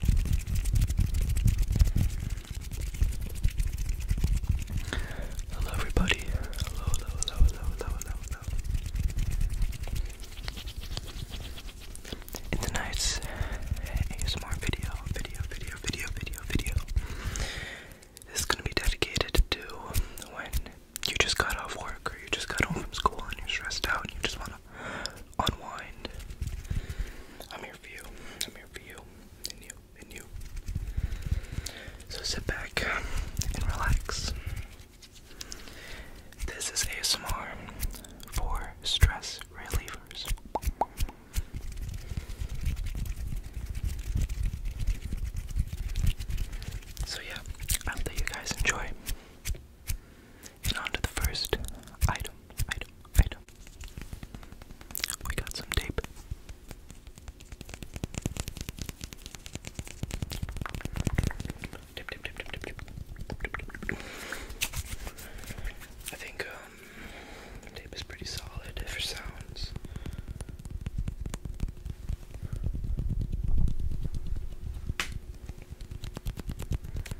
Hello everybody. Hello, hello, hello, hello, hello, hello, tonight's ASMR video, video, video, video, video, video is gonna be dedicated to when you just got off work or you just got home from school and you're stressed out and you just wanna unwind. I'm here for you. I'm here for you. And you. And you. So sit back and relax. This is ASMR for stress relievers. So yeah, I hope that you guys enjoy. And on to the first item, item, item. We got some tape. Tip, tip, tip, tip, tip, I think um, tape is pretty solid for sounds.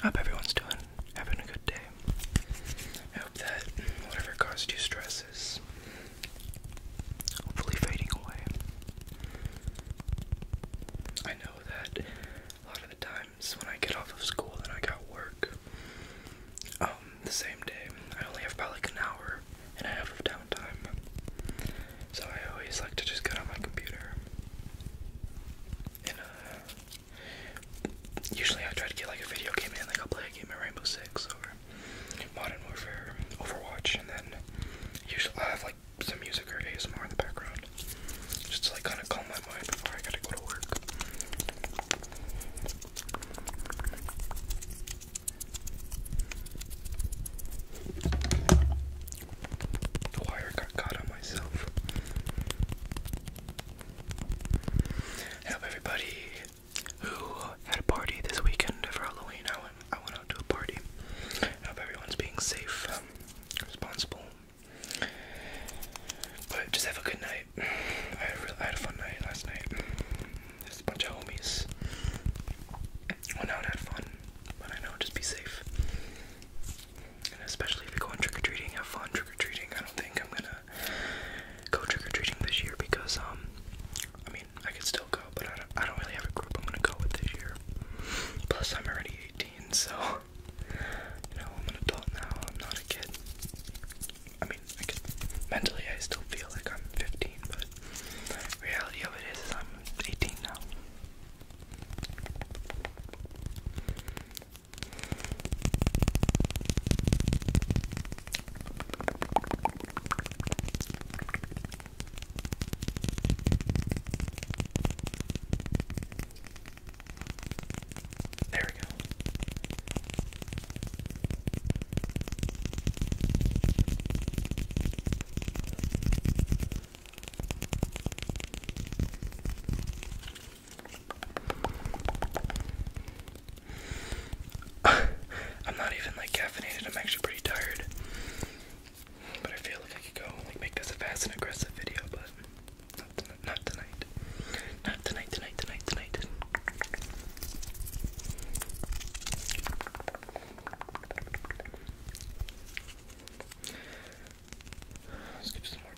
I hope everyone's doing, having a good day. I hope that whatever caused you stress is hopefully fading away. I know that a lot of the times when I get off of school and I go to work um, the same day, I only have probably like an hour and I have downtime. So I always like to just get on my computer. And uh, usually I try to get like a video game in, like I'll play a game of Rainbow Six or Modern Warfare, Overwatch, and then usually i have like some music or ASMR in the background. Just to like kind of calm my mind before I gotta go to work. The wire got caught on myself. Hello, everybody who had a party this weekend for Halloween. I went, out to a party. I hope everyone's being safe, um, responsible. But just have a good night. I had a fun night last night. Just a bunch of homies went out, had fun, but I know just be safe. And especially if you're going trick or treating, have fun trick or treating. I don't think I'm gonna go trick or treating this year because, um, I mean, I could still go, but I don't, I don't really have a group I'm gonna go with this year. Plus, I'm already 18, so you know, I'm an adult now, I'm not a kid. I mean, mentally, I still feel like I'm 15, reality of it is I'm 18 now. There we go. I'm not even like caffeinated, I'm actually pretty tired. But I feel like I could go like make this a fast and aggressive video, but not, tonight. Not tonight, tonight, tonight, tonight. Let's give some more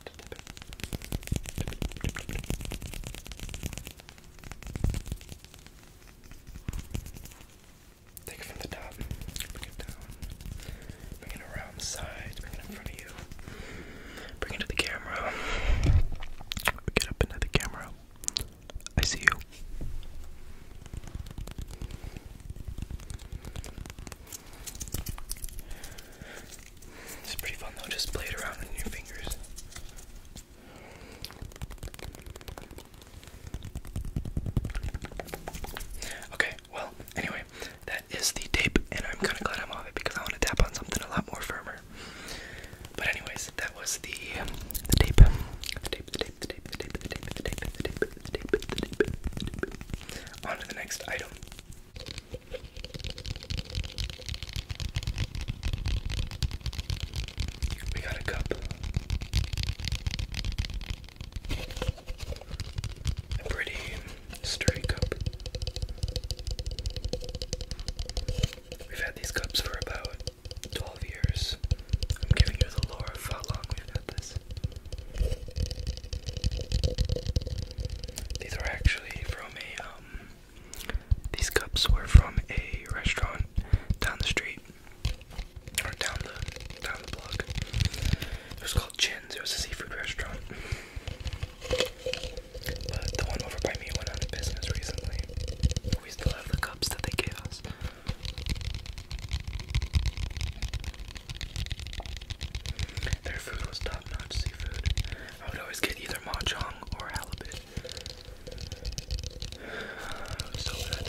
Take it from the top, bring it down, bring it around the sides, bring it in front of you, bring it to the camera, get up into the camera, I see you. It's pretty fun though, just play around in your fingers. Okay, well, anyway, that is the tape, and I'm kind of glad I'm off it because I want to tap on something a lot more firmer. But anyways, that was the the tape, the tape, the tape. On to the next item. We got a cup. A pretty sturdy cup. We've had these cups for about 12 years. I'm giving you the lore of how long we've had this. These are actually from a, um, these cups were from a restaurant down the street, or down the, down the block. It was called Chin's, it was a seafood restaurant. But the one over by me went out of business recently. We still have the cups that they gave us. Their food was top-notch seafood. I would always get either mahjong or halibut. so good.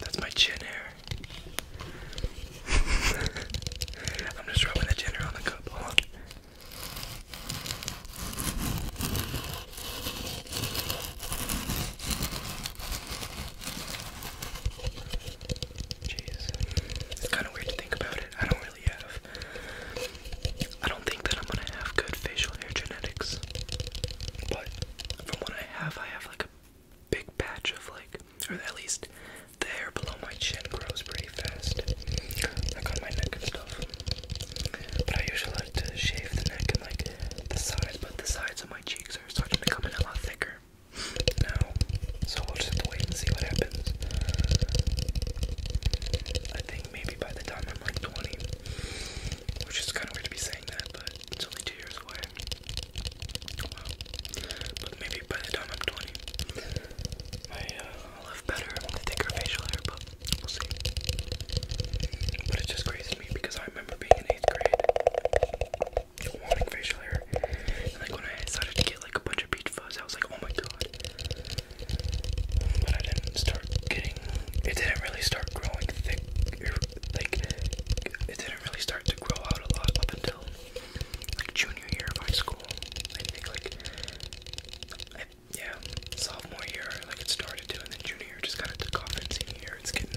That's my chin hair. I'm just rubbing the ginger on the cup. Jeez. It's kind of weird to think about it. I don't really have. I don't think that I'm gonna have good facial hair genetics. But from what I have, I have like a big patch of like, or at least the hair below my chin grows pretty fast, like on my neck and stuff. But I usually like to shave the neck and like the sides, but the sides of my cheeks are starting to come a lot thicker now. So we'll just wait and see what happens. I think maybe by the time I'm like 20, which is kind of weird to be saying that, but it's only two years away. But maybe by the time I'm 20, I will uh, have better, thicker facial hair, but it just crazy me because I remember being in 8th grade, wanting facial hair, like when I decided to get like a bunch of beach fuzz, I was like, oh my god. But I didn't start getting, it didn't really start growing thick, like, it didn't really start to grow out a lot up until like junior year of high school. I think like yeah, sophomore year like it started to, and then junior year just kind of took off. And senior year, it's getting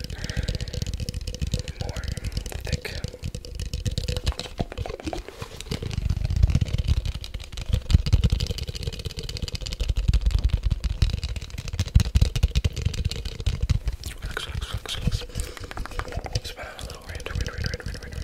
more thick. Relax, relax, relax, relax. Let's put out a little random, random, random, random, random, random.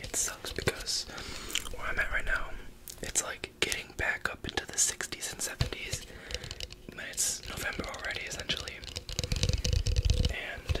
It sucks because where I'm at right now, it's like getting back up into the 60s and 70s. But it's November already, essentially. And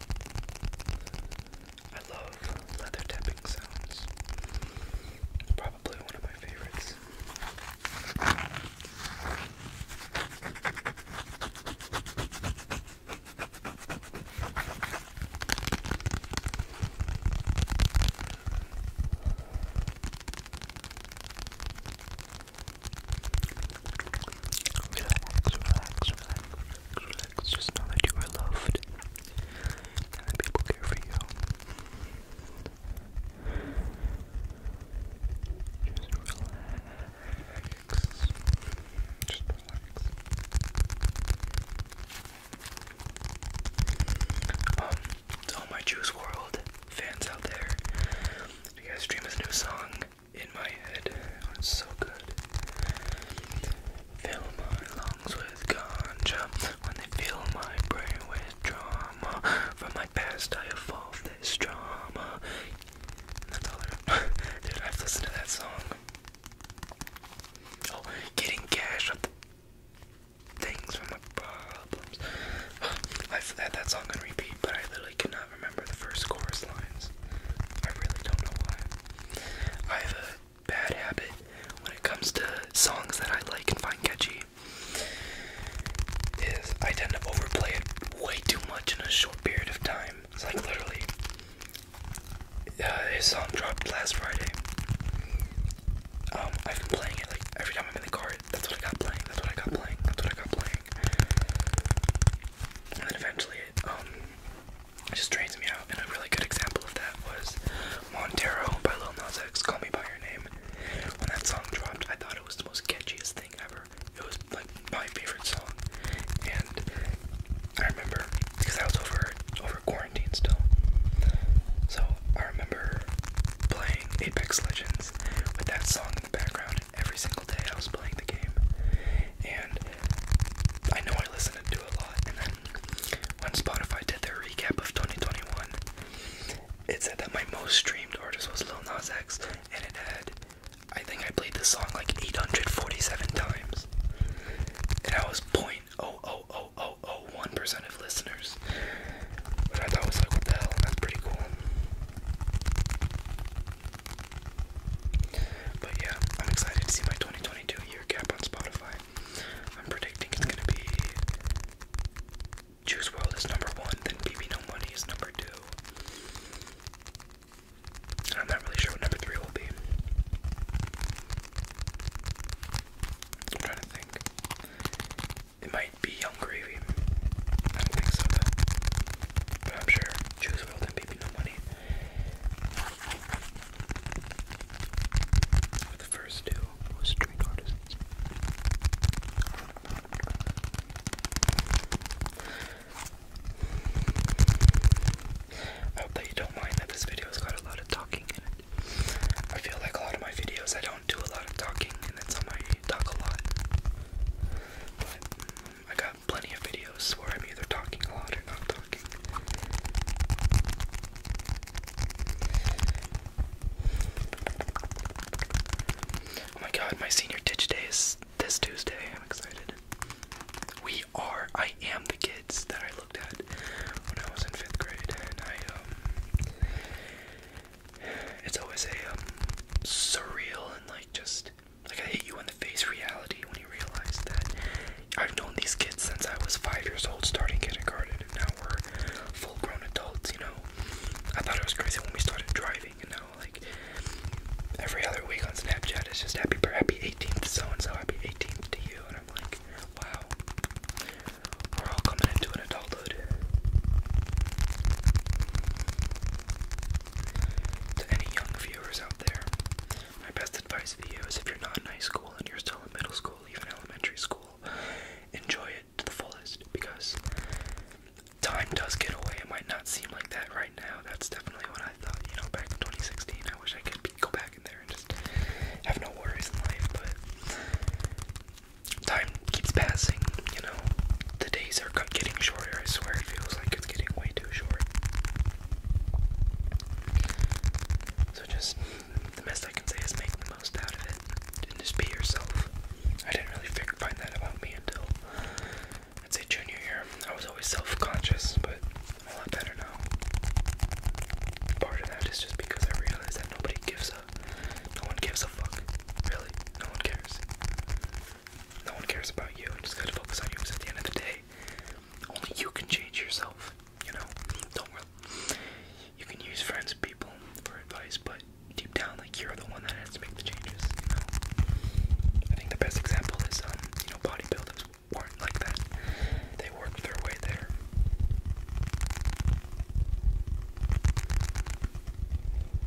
I love leather tapping sounds. Probably one of my favorites. Relax, relax, relax, relax. Just know that you are loved and that people care for you. Just relax. Um, to all my Juice World fans out there, you guys stream his new song in my head. Oh, it's so good. Fill my lungs with ganja when they fill my brain with drama. From my past, I evolve this drama. That's all I Dude, I've listened to that song. Oh, getting cash up things from my problems. I've had that song on repeat, but I literally cannot uh, remember the first chorus lines. I really don't know why. I have a bad habit when it comes to songs that I like and find catchy. Is I tend to overplay it way too much in a short period of time. It's like literally, uh, his song dropped last Friday. Um, I've been playing it like every time I'm in the car. That's what I got playing. That's what I got playing. That's what I got playing. And then eventually um, it just drains me out. And a really good example of that was Montero by Lil Nas X, Call Me by Your Name. When that song dropped, I thought it was the most catchiest thing ever. It was like my favorite song. And I remember because I was over over quarantine still. So I remember playing Apex Legends with that song in the background every single day I was playing the game. And I know I listened to a lot. And then when Spotify did their recap of 2021, it said that my most streamed artist was Lil Nas X, and it had, I think I played this song like 847 times. And I was 0.00001% of listeners. But I thought was like, the hell? That's pretty cool. But yeah, I'm excited to see my 2022 year cap on Spotify. I'm predicting it's gonna be Juice World is number one, then BB No Money is number two. And I'm not really sure what number three will be. I'm trying to think. It might be Hungry I don't think so, But I'm sure. Choose World and Baby No Money. the first two was Street Artisans. I hope that you don't mind that this video's got a lot of talking in it. I feel like a lot of my videos I don't do a lot of talking and then some I talk a lot. I got plenty of videos where I'm either talking a lot or not talking. Oh my god, my senior ditch day is this Tuesday. I'm excited. We are, I am the kids that I looked at when I was in fifth grade, and I, um, it's always a um, surreal and like just like I hit you in the face reality when you realize that I've known these kids since I was five years old, starting kindergarten, and now we're full-grown adults. You know, I thought it was crazy when we started driving, and now like every other week on Snapchat it's just happy birthday, happy 18th so and so, happy 18th to you, and I'm like, wow, we're all coming into an adulthood. To any young viewers out there, my best advice for is if you're not in high school and you're still in middle school, even elementary school, enjoy it to the fullest because time does get away. It might not seem like that right now. That's definitely what I thought, you know, back in 2016. I wish I could go back in there and just have no worries in life, but time keeps passing, you know. The days are getting shorter, I swear it feels like it's getting way too short. So just the best I can say is make the most out of it and just be yourself. I didn't really find that about me until I'd say junior year. I was always self-conscious, but a lot better now. Part of that is just because I realized that nobody gives a, no one gives a fuck. Really, no one cares. No one cares about you. Just gotta focus on you because at the end of the day, only you can change yourself. You know, don't worry. You can use friends, people for advice, but deep down, like you're the one that has to make the changes. You know, I think the best example is um, you know, bodybuilders weren't like that. They worked their way there.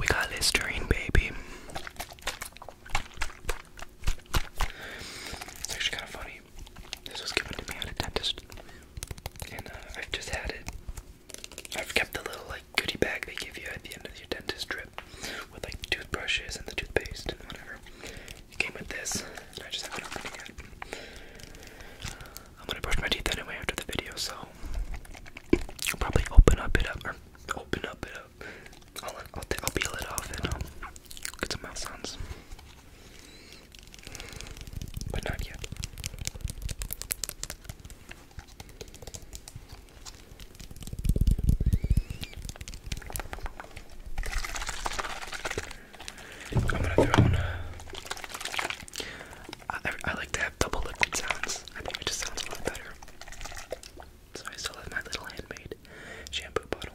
We got Listerine, baby. It's actually kind of funny. This was given to me at a dentist, and uh, I've just had it. I've kept the little like goodie bag they give you at the end of your dentist trip, with like toothbrushes and the toothpaste and whatever. It came with this, and I just haven't opened it I'm gonna brush my teeth anyway after the video, so I'll probably open up it up or open up it up. I'll I'll, peel it off and um, get some mouth sounds, but not yet. I'm gonna throw in. A, I, I like to have double liquid sounds. I think it just sounds a lot better. So I still have my little handmade shampoo bottle.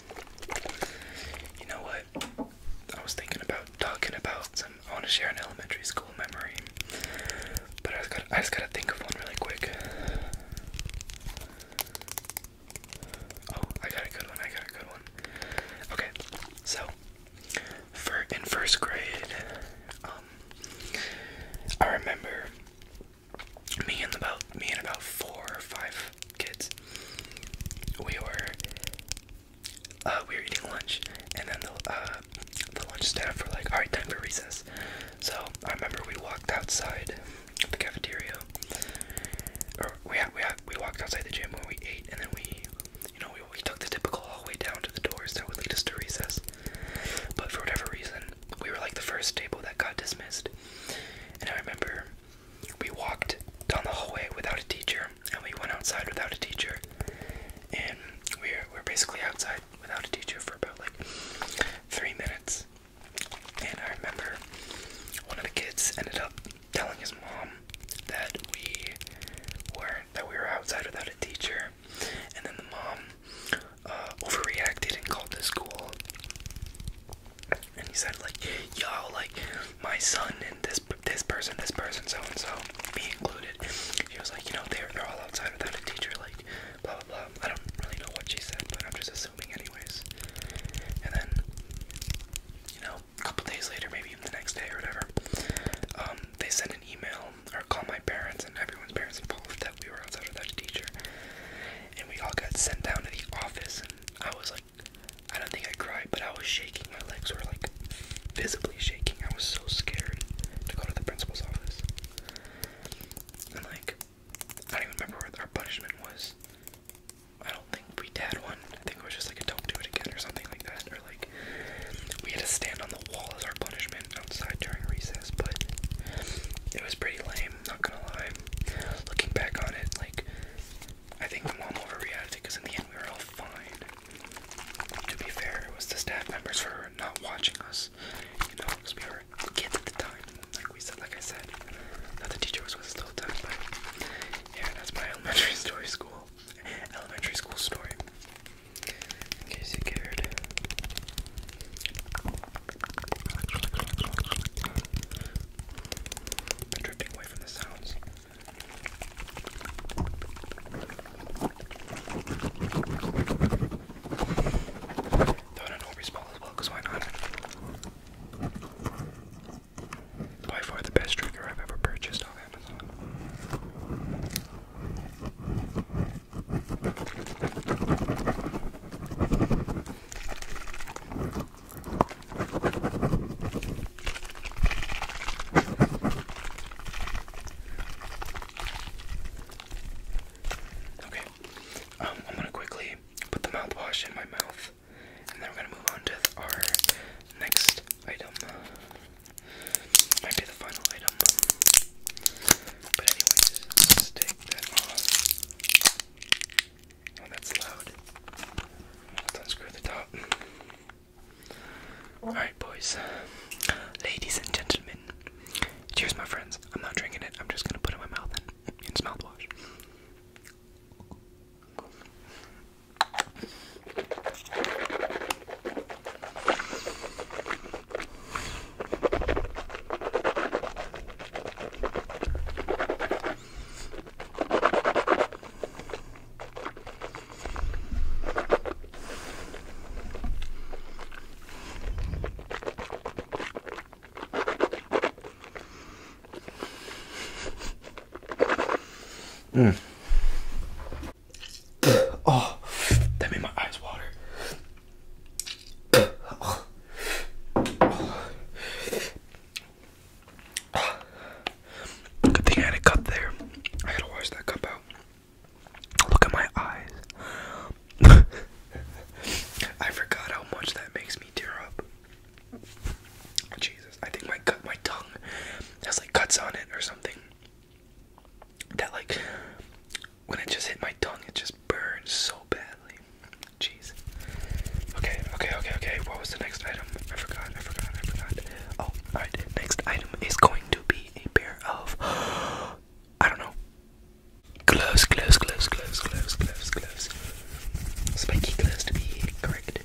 You know what? I was thinking about talking about some. I want to share an elementary school memory, but I just gotta, think of one really quick. Oh, I got a good one. I got a good one. Okay, so for in first grade, um, I remember me and about me and about four or five kids, we were uh, we were eating lunch, and then the uh, the lunch staff were like, "All right, time for recess." So I remember we walked outside the cafeteria, or we we we walked outside the gym where we ate, and then we, you know, we, we took the typical hallway down to the doors that would lead us to recess. But for whatever reason, we were like the first table that got dismissed, and I remember we walked down the hallway without a teacher, and we went outside without a teacher, and we were, basically outside without a teacher for about like three minutes. And I remember one of the kids ended up telling his mom that we were that we were outside without a teacher, and then the mom uh, overreacted and called the school and he said like, yo, like my son and this this person, this person, so and so, me included. He was like, you know, they're they're all outside without a teacher, like blah blah blah. I don't really know what she said, but I'm just assuming anyways. And then, you know, a couple days later, maybe even the next day or whatever, um, they sent an email or call my parents and everyone's parents involved that we were outside without a teacher and we all got sent down to the office, and I was like, I don't think I cried, but I was shaking. My legs were like visibly shaking. I was so scared to go to the principal's office. And like, I don't even remember what our punishment was. I don't think we had one. I think it was just like a don't do it again or something like that. Or like, we had to stand on the wall as our punishment outside during recess, but it was pretty lame not gonna lie. Looking back on it, like, I think my mom overreacted because in the end we were all fine. To be fair, it was the staff members for not watching us, you know, we were kids the time. Like we said, like I said, not the teacher was with us yeah, that's my elementary story school, elementary school story. In case you cared drifting away from the sounds. Though I don't know as well, because why not? By far the best trigger I've ever purchased off Amazon. Okay, um, I'm gonna quickly put the mouthwash in my mouth, and then we're gonna move on to our next item. Might be the final item, but anyways, let's take that off. Oh, that's loud. Let's unscrew the top. Alright, boys. Ladies and gentlemen. Cheers, my friends. I'm not drinking it. I'm just going to put it in my mouth and it's mouthwash. Mm. oh, that made my eyes water. Good thing I had a cup there. I gotta wash that cup out. Look at my eyes. I forgot how much that makes me tear up. Jesus, I think my cut, my tongue has like cuts on it or something. That like when it just hit my tongue, it just burned so badly. Jeez. Okay, okay, okay, okay. What was the next item? I forgot, I forgot, I forgot. Oh, alright. Next item is going to be a pair of. I don't know. Gloves, gloves, gloves, gloves, gloves, gloves, gloves. Spiky gloves to be correct.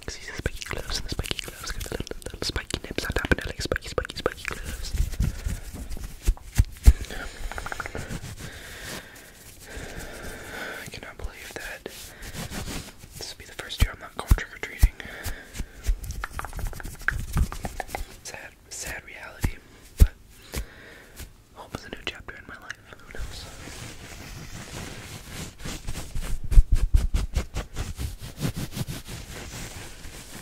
Because these are spiky gloves and the spiky gloves got the little, little spiky nips on top and they're like spiky, spiky, spiky gloves. I cannot believe that this will be the first year I'm not going trick or treating. Sad, sad reality, but hope is a new chapter in my life. Who knows?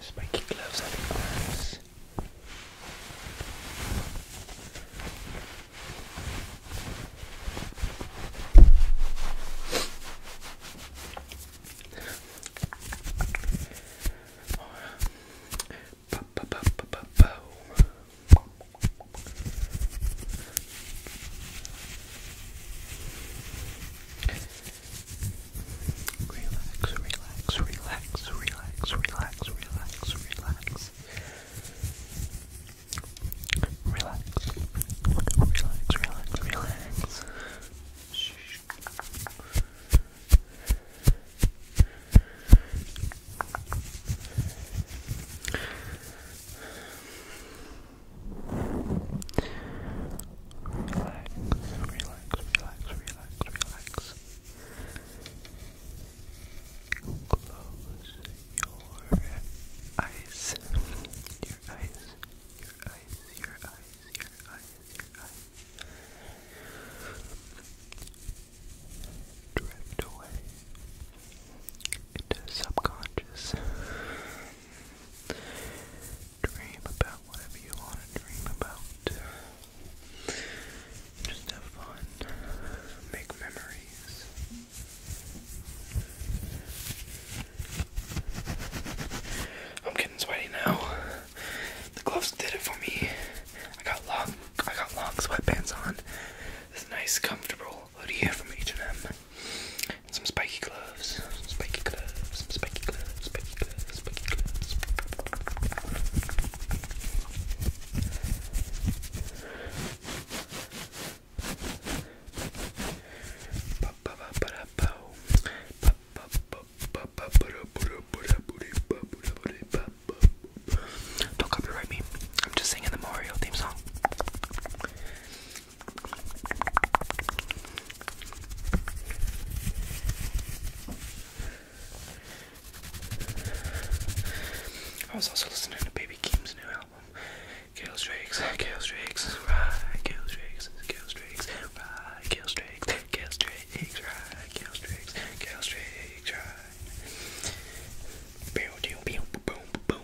Spiky gloves on the arms. Relax, relax, relax, relax, relax, relax, relax. Relax, relax, relax, relax. Shh. Relax, relax, relax, relax, relax. Close your eyes. Your eyes. Your eyes. Your eyes. Your eyes. Your eyes. Drift away into subconscious. Dream about whatever you want to dream about. Just have fun. Make memories. I'm getting sweaty now. The gloves did it for me. I got long I got long sweatpants on. It's nice, comfortable. What do you hear from H&M? Some spiky gloves, spiky gloves, spiky gloves, spiky gloves, spiky gloves. Don't copyright me. I'm just singing the Mario theme song. I was also listening to Baby Keem's new album. Kill Strikes, Kill Strikes, Ride, Kill Strikes, Kill Strikes, Ride, Kill Strikes, Kill Strikes, Ride, Kill Strikes, Kill Strikes, Ride. Boom, boom, boom, boom, boom,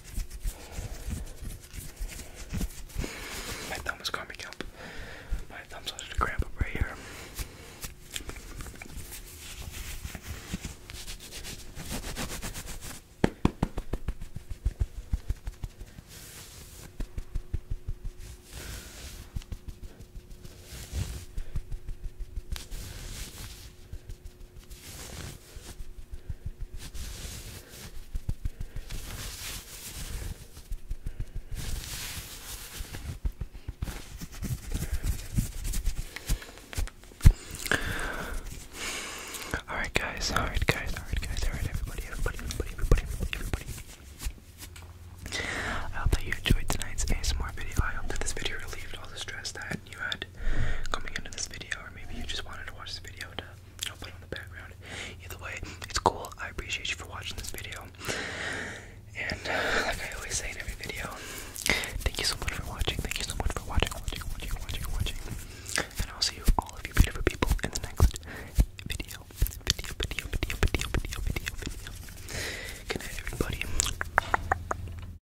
My thumb is coming up. My thumb's just to grab up right here. Alright guys, alright guys, alright guys, alright everybody, everybody, everybody, everybody, everybody, everybody. I hope that you enjoyed tonight's ASMR video. I hope that this video relieved all the stress that you had coming into this video, or maybe you just wanted to watch this video to put on the background. Either way, it's cool. I appreciate you for watching this video. And like I always say in every video, thank you so much for watching. Thank you so much for watching, watching, watching, watching, watching. And I'll see you all of you beautiful people in the next video. Video, video, video, video, video, video, video. Good night, everybody.